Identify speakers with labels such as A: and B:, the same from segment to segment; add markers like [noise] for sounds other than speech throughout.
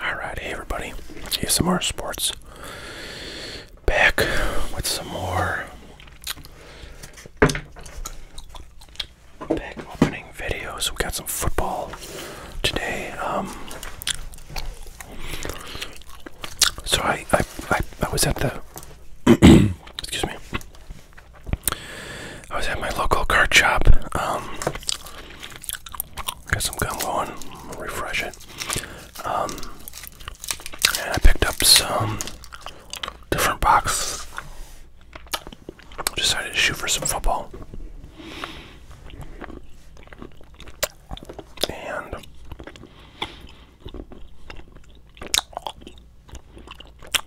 A: Alright, hey everybody, here's some sports. Back with some more pack opening videos. We got some football today. Um, so I, I, I, I was at the [clears throat] excuse me. I was at my local card shop. Um, Get some gum going, refresh it. Um, and I picked up some different boxes. Decided to shoot for some football. And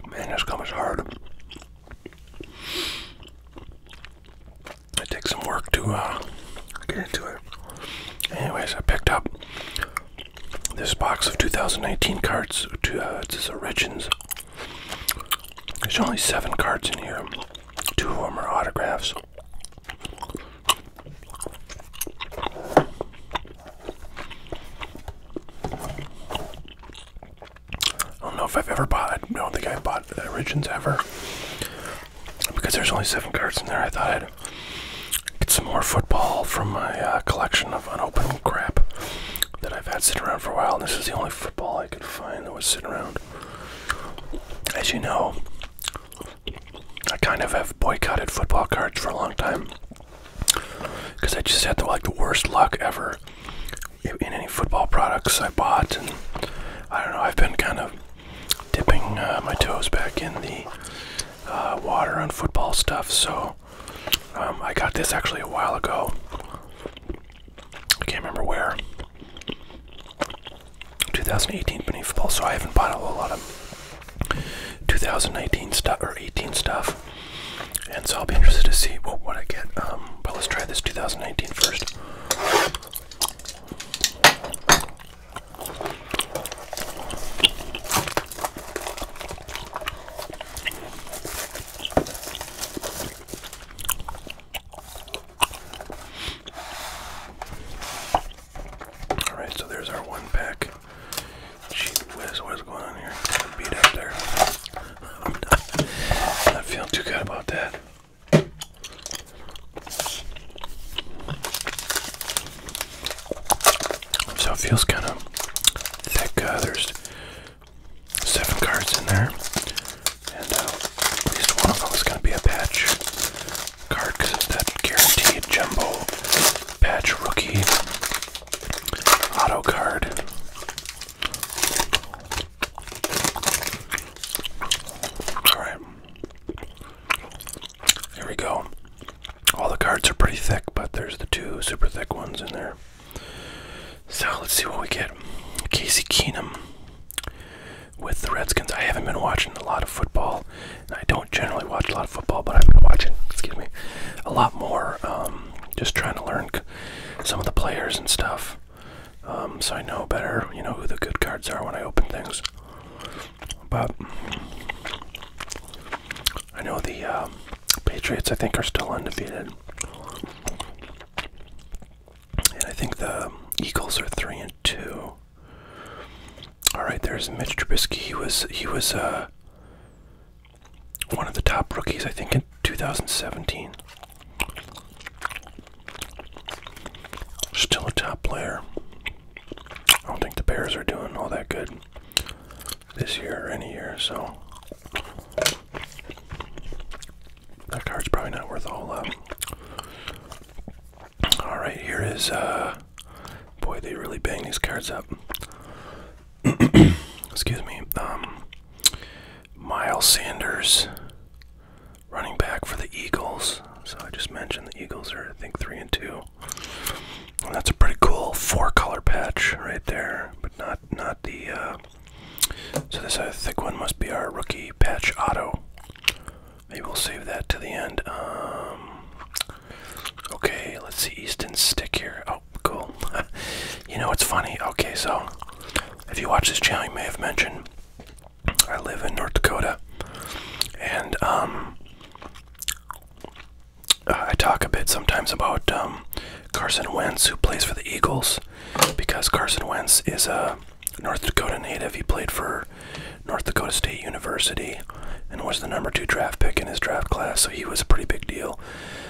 A: man, this gum is hard. It takes some work to uh, get into it. Anyways, I picked up this box of 2019 cards. it's uh, this Origins. There's only seven cards in here. Two of them are autographs. I don't know if I've ever bought. I don't think I have bought Origins ever. Because there's only seven cards in there, I thought I'd get some more football from my uh, collection of unopened crap that I've had sitting around for a while. And this is the only football I could find that was sitting around. As you know, I kind of have boycotted football cards for a long time because I just had the like the worst luck ever in any football products I bought, and I don't know. I've been kind of dipping uh, my toes back in the uh, water on football stuff, so um, I got this actually a while ago. I can't remember where. 2018 Beneath Football, so I haven't bought a whole lot of 2019 stuff or 18 stuff. And so I'll be interested to see what, I get. Um, but let's try this 2019 first. All right, so there's our one pack. what is going on here? Beat up there. I'm not, feeling too good about that. So it feels kind of thick. Uh, there's seven cards in there, and uh, at least one of them is going to be a patch card because it's that guaranteed jumbo patch rookie auto card. All right. Here we go. All the cards are pretty thick, but there's the two super thick ones in there. So let's see what we get. Casey Keenum with the Redskins. I haven't been watching a lot of football. I don't generally watch a lot of football, but I've been watching, excuse me, a lot more. Um, just trying to learn some of the players and stuff. Um, so I know better, you know, who the good cards are when I open things. But I know the uh, Patriots, I think, are still undefeated, and I think the Eagles are three and two. All right, there's Mitch Trubisky. He was he was uh, one of the top rookies, I think, in 2017. Still a top player. I don't think the Bears are doing all that good this year or any year, so that card's probably not worth a whole lot. All right, here is uh, boy, they really bang these cards up. [clears throat] excuse me, um, Miles Sanders, running back for the Eagles. So I just mentioned the Eagles are, I think, three and two. that's a pretty cool four-color patch right there, but not not the. Uh, so this uh, thick one must be our rookie patch auto. Maybe we'll save that to the end. Um, okay, let's see Easton stick here. Oh, cool. [laughs] you know what's funny? Okay, so if you watch this channel, you may have mentioned I live in North Dakota, and um, I talk a bit sometimes about um, Carson Wentz, who plays for the Eagles, because Carson Wentz is a North Dakota native. He played for North Dakota State University and was the number two draft pick in his draft class, so he was a pretty big deal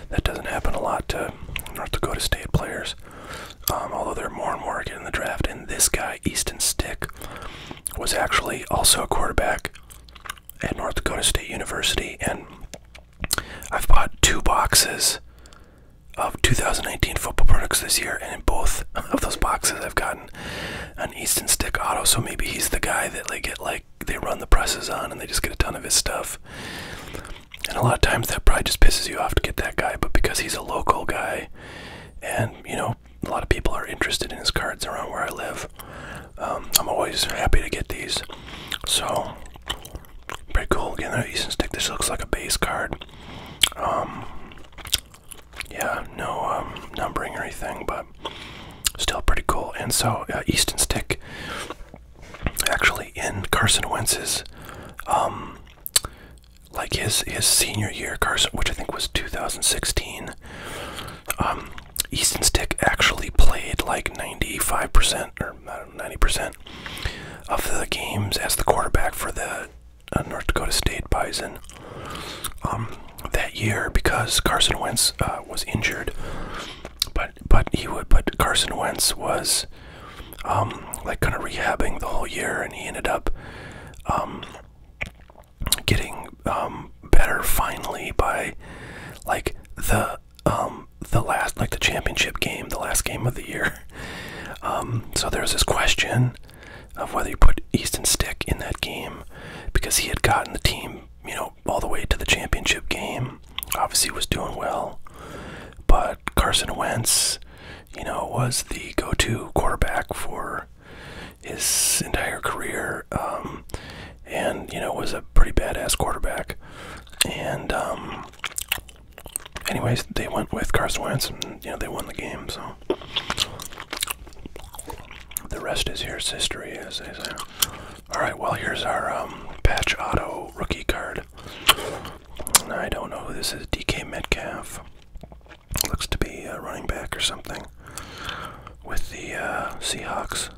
A: that doesn't happen a lot to North Dakota State players. Um, although they're more and more getting the draft, and this guy Easton Stick was actually also a quarterback at North Dakota State University, and I've bought two boxes of 2019 football products this year, and in both [laughs] of those boxes, I've gotten an Easton Stick auto. So maybe he's the guy that they get like they run the presses on and they just get a ton of his stuff. And a lot of times that probably just pisses you off to get that guy, but because he's a local guy and, you know, a lot of people are interested in his cards around where I live, um, I'm always happy to get these. So, pretty cool. Again, another Easton stick. This looks like a base card. Um, yeah, no um, numbering or anything, but still pretty cool. And so, uh, Easton stick actually in Carson Wentz's, um, like his his senior year, Carson, which I think was 2016. Um, Easton Stick actually played like 95% or 90% of the games as the quarterback for the uh, North Dakota State Bison um, that year because Carson Wentz uh, was injured. But but he would. But Carson Wentz was um, like kind of rehabbing the whole year, and he ended up um, getting um, better finally by like the the last like the championship game, the last game of the year. [laughs] So there was this question of whether you put Easton Stick in that game because he had gotten the team, you know, all the way to the championship game. Obviously, was doing well, but Carson Wentz, you know, was the go-to quarterback for his entire career, um, and you know, was a pretty badass quarterback. And um, anyways, they went with Carson Wentz, and you know, they won the game. So the rest is history, as they say. All right, well here's our um, patch auto rookie card. I don't know who this is. DK Metcalf looks to be a uh, running back or something with the uh, Seahawks.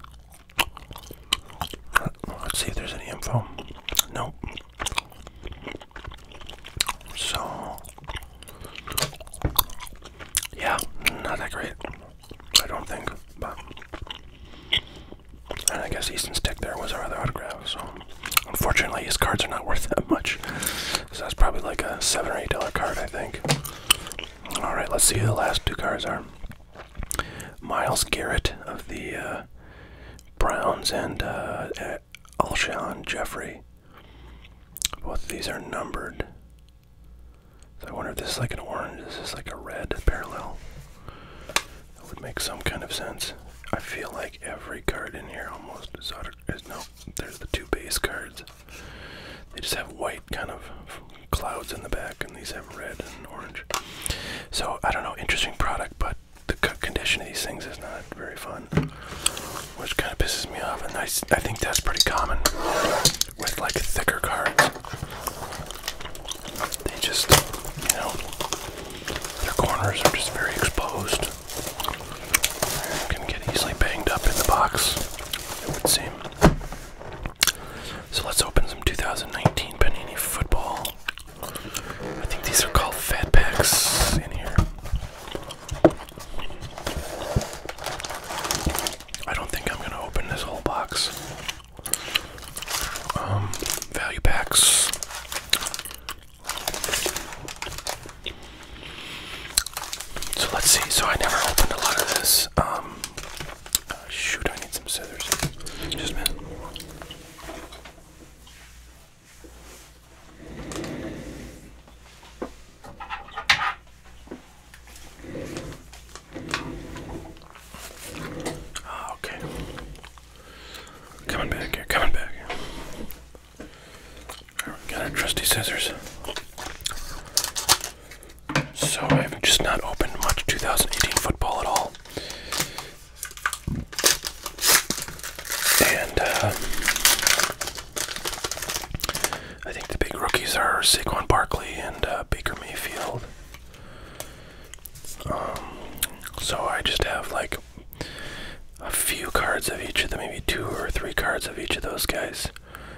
A: Let's see if there's any info. Nope. So yeah, not that great. I don't think, but and I guess Easton's stick there was our other autograph. So unfortunately, his cards are not worth that much. So that's probably like a seven or eight dollar card, I think. All right, let's see who the last two cards are. Miles Garrett of the uh, Browns and uh, Alshon Jeffrey. Both these are numbered. I wonder if this is like an orange, is this like a red parallel? That would make some kind of sense. I feel like every card in here almost is out of, no, there's the two base cards. They just have white kind of clouds in the back and these have red and orange. So I don't know, interesting product, but the condition of these things is not very fun, which kind of pisses me off, and I, I think that's pretty common with like thicker cards. They just, you know, their corners are just very exposed. Can get easily banged up in the box, it would seem. So let's open some 2019 Panini Football. I think these are called Fat Packs in here. I don't think I'm gonna open this whole box. Um, value packs. So let's see. So I never opened a lot of this. Um, uh, shoot, I need some scissors. Just a minute. Oh, okay. Coming back here, coming back got our trusty scissors. So I've just not opened much 2018 football at all. And uh, I think the big rookies are Saquon Barkley and uh, Baker Mayfield. Um, so I just have like a few cards of each of them, maybe two or three cards of each of those guys.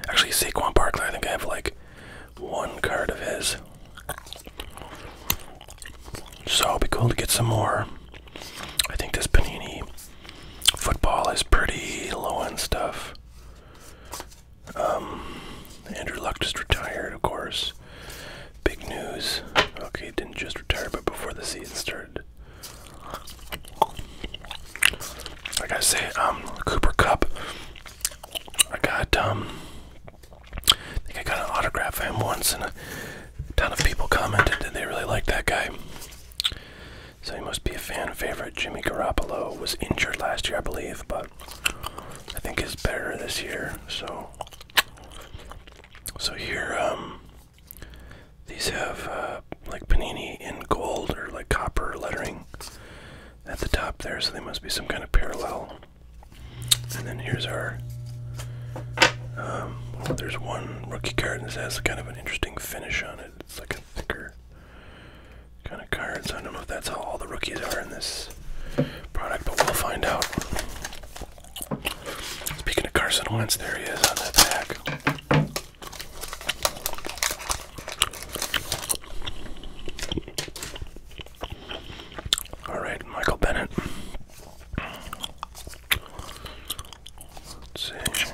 A: Actually, Saquon Barkley, I think I have like one card of his. So it'll be cool to get some more. I think this Panini football is pretty low end stuff. Um, Andrew Luck just retired, of course. Big news. Okay, he didn't just retire, but before the season started. Like I say, um, Cooper Cup. I got um, I think I got an autograph of him once, and a ton of people commented that they really liked that guy. So he must be a fan favorite. Jimmy Garoppolo was injured last year, I believe, but I think he's better this year. So, so here, um, these have uh, like panini in gold or like copper lettering at the top there, so they must be some kind of parallel. And then here's our. Um, there's one rookie card, and this has kind of an interesting finish on it. It's like a thicker kind of cards. I don't know if that's how all the rookies are in this product, but we'll find out. Speaking of Carson Wentz, there he is on that back. All right, Michael Bennett. Let's see.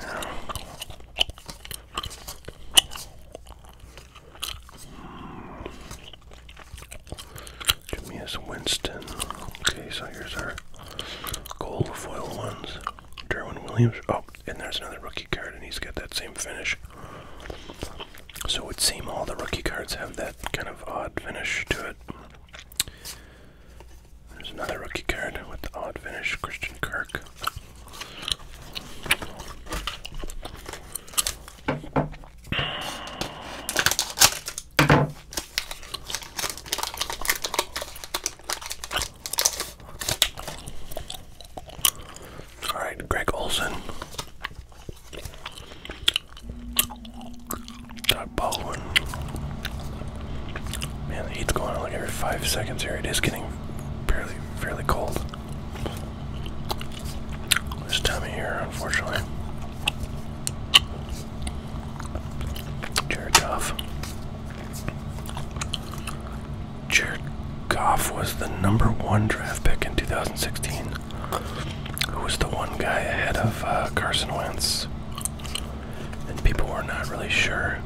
A: Jamia's Winston. Okay, so here's our gold foil ones. Derwin Williams. Oh, and there's another rookie card, and he's got that same finish. So it would all the rookie cards have that kind of odd finish to it. There's another rookie card with the odd finish, Christian Kirk. All right, Greg Olson. Doug Baldwin. Man, the going like every five seconds here. It is getting fairly, fairly cold this time of year, unfortunately. Jared Goff. Jared Goff was the number one draft pick in 2016. Who was the one guy ahead of uh, Carson Wentz? And people were not really sure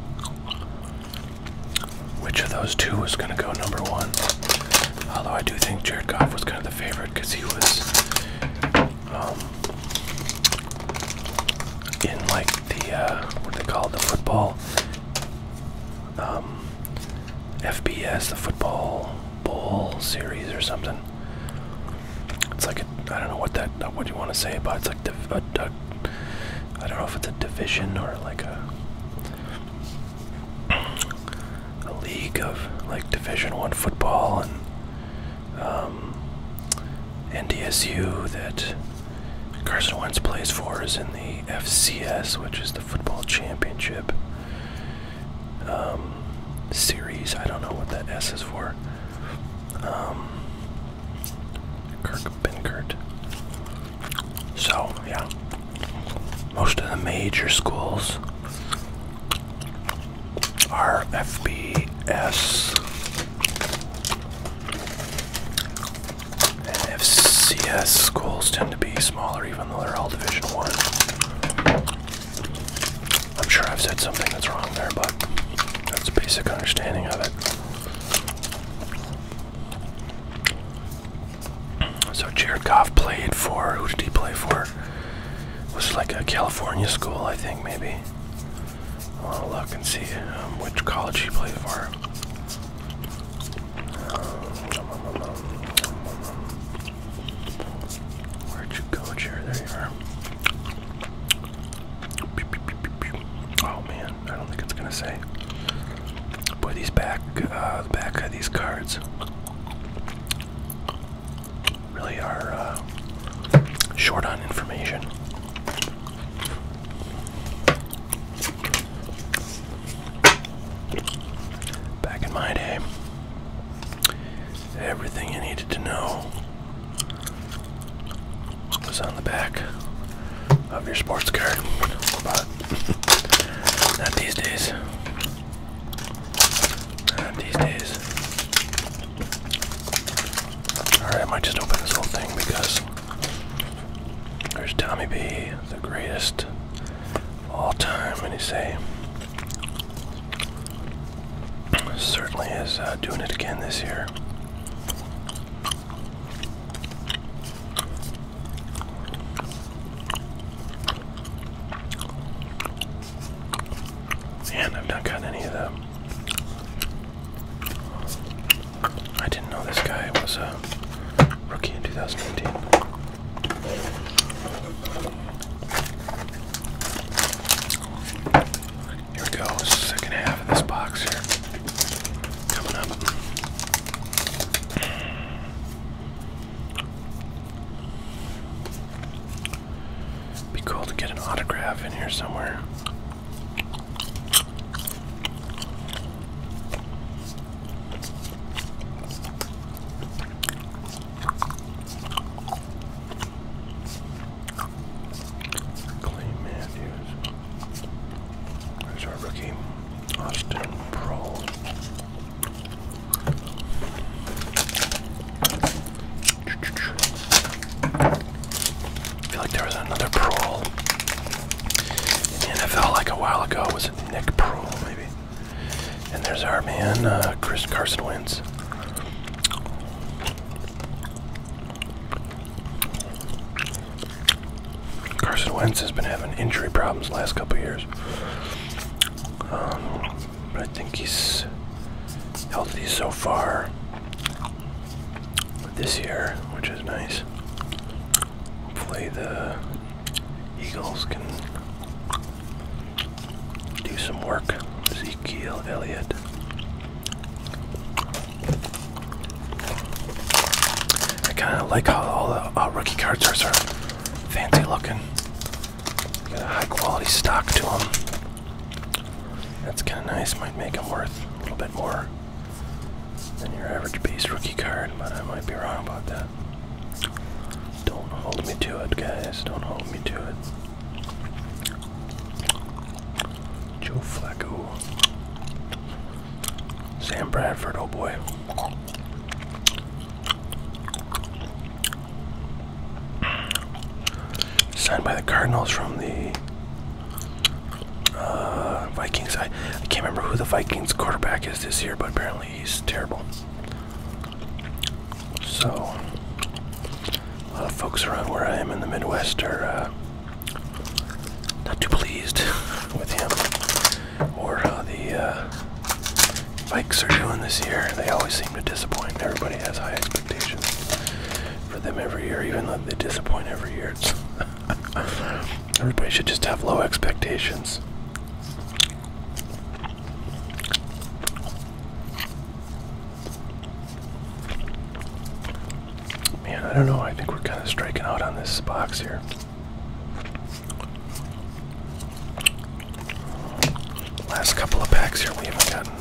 A: which of those two was going to go number one. Although I do think Jared Goff was kind of the favorite because he was um, in like the uh, what they call the football um, FBS, the football bowl series or something. It's like I I don't know what that what you want to say about it's like the, I don't know if it's a division or like a league of like Division One football and um, NDSU that Carson Wentz plays for is in the FCS, which is the football championship um, series. I don't know what that S is for. Um, Kirk Binkert. So, yeah, most of the major schools are FBS and FCS schools tend to be smaller, even though they're all Division One. I'm sure I've said something that's wrong there, but that's a basic understanding of it. So Jared Goff played for, who did he play for? It was like a California school, I think, maybe. I will look and see um, which college he played for. Where'd you go, Jared? There you are. Oh man, I don't think it's gonna say. Boy, these back, uh, the back of these cards really are uh, short on information. Back in my day, everything you needed to know was on the back of your sports card. But not these days. these days. Alright, I might just open this whole thing because there's Tommy B, the greatest of all time, and he's saying certainly is uh, doing it again this year. And I've not gotten any of them. I didn't know this guy was a rookie in 2019. Here we go, second half of this box here. Coming up. Be cool to get an autograph in here somewhere. Clay Matthews. There's our rookie, Austin Pro. feel like there was another Prohl NFL like a while ago. Was Nick Prohl, maybe? And there's our man, uh, Chris Carson wins. Carson Wentz has been having injury problems the last couple years. Um, but I think he's healthy so far this year, which is nice. Hopefully the Eagles can do some work. Ezekiel Elliott. I kind of like how all the uh, rookie cards are sort fancy looking. Got a high quality stock to them. That's kind of nice. Might make them worth a little bit more than your average base rookie card, but I might be wrong about that. Don't hold me to it, guys. Don't hold me to it. Joe Flacco. Sam Bradford, oh boy. Signed by the Cardinals from the uh, Vikings. I, I can't remember who the Vikings quarterback is this year, but apparently he's terrible. So, a lot of folks around where I am in the Midwest are uh, not too pleased with him or how the uh, bikes are doing this year. They always seem to disappoint. Everybody has high expectations for them every year, even though they disappoint every year. [laughs] Everybody should just have low expectations. Man, I don't know. I think we're kind of striking out on this box here. Last couple of packs here, we haven't gotten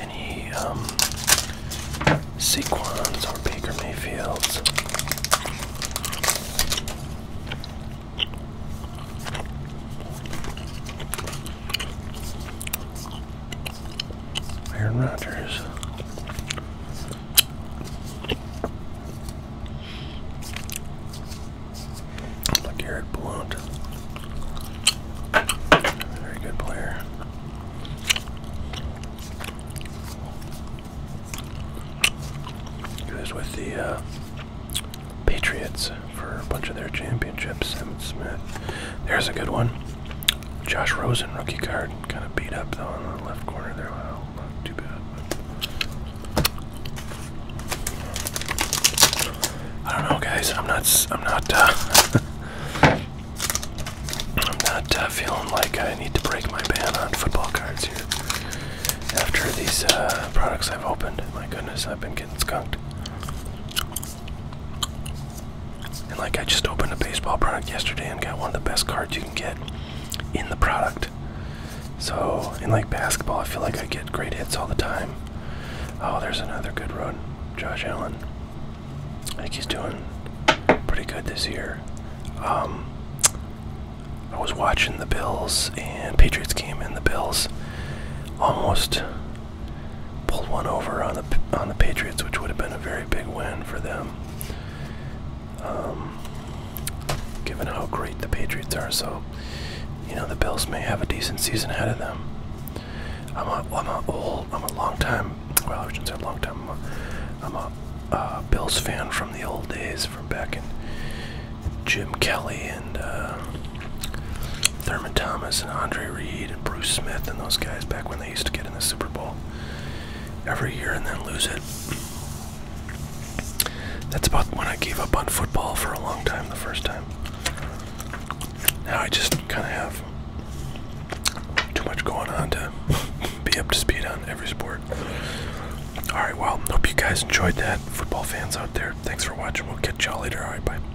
A: any um, Saquons or Baker Mayfields. Aaron Rodgers. Garrett Blount. Very good player. He was with the uh, Patriots for a bunch of their championships. Smith. There's a good one. Josh Rosen rookie card, kind of beat up though on the left corner there. Well, not too bad. I don't know, guys. I'm not. I'm not. Uh, [laughs] I'm not uh, feeling like I need to break my ban on football cards here. After these uh, products I've opened, my goodness, I've been getting skunked. And like I just opened a baseball product yesterday and got one of the best cards you can get in the product. So, in like basketball, I feel like I get great hits all the time. Oh, there's another good run. Josh Allen. I think he's doing pretty good this year. Um, I was watching the Bills and Patriots game, and the Bills almost pulled one over on the on the Patriots, which would have been a very big win for them. Um, given how great the Patriots are, so you know the Bills may have a decent season ahead of them. I'm a I'm a old I'm a long time well I shouldn't say long time I'm a uh, Bills fan from the old days from back in Jim Kelly and. Uh, Thurman Thomas and Andre Reed and Bruce Smith and those guys back when they used to get in the Super Bowl every year and then lose it. That's about when I gave up on football for a long time the first time. Now I just kind of have too much going on to [laughs] be up to speed on every sport. Alright, well, hope you guys enjoyed that. Football fans out there, thanks for watching. We'll catch y'all later. Alright, bye.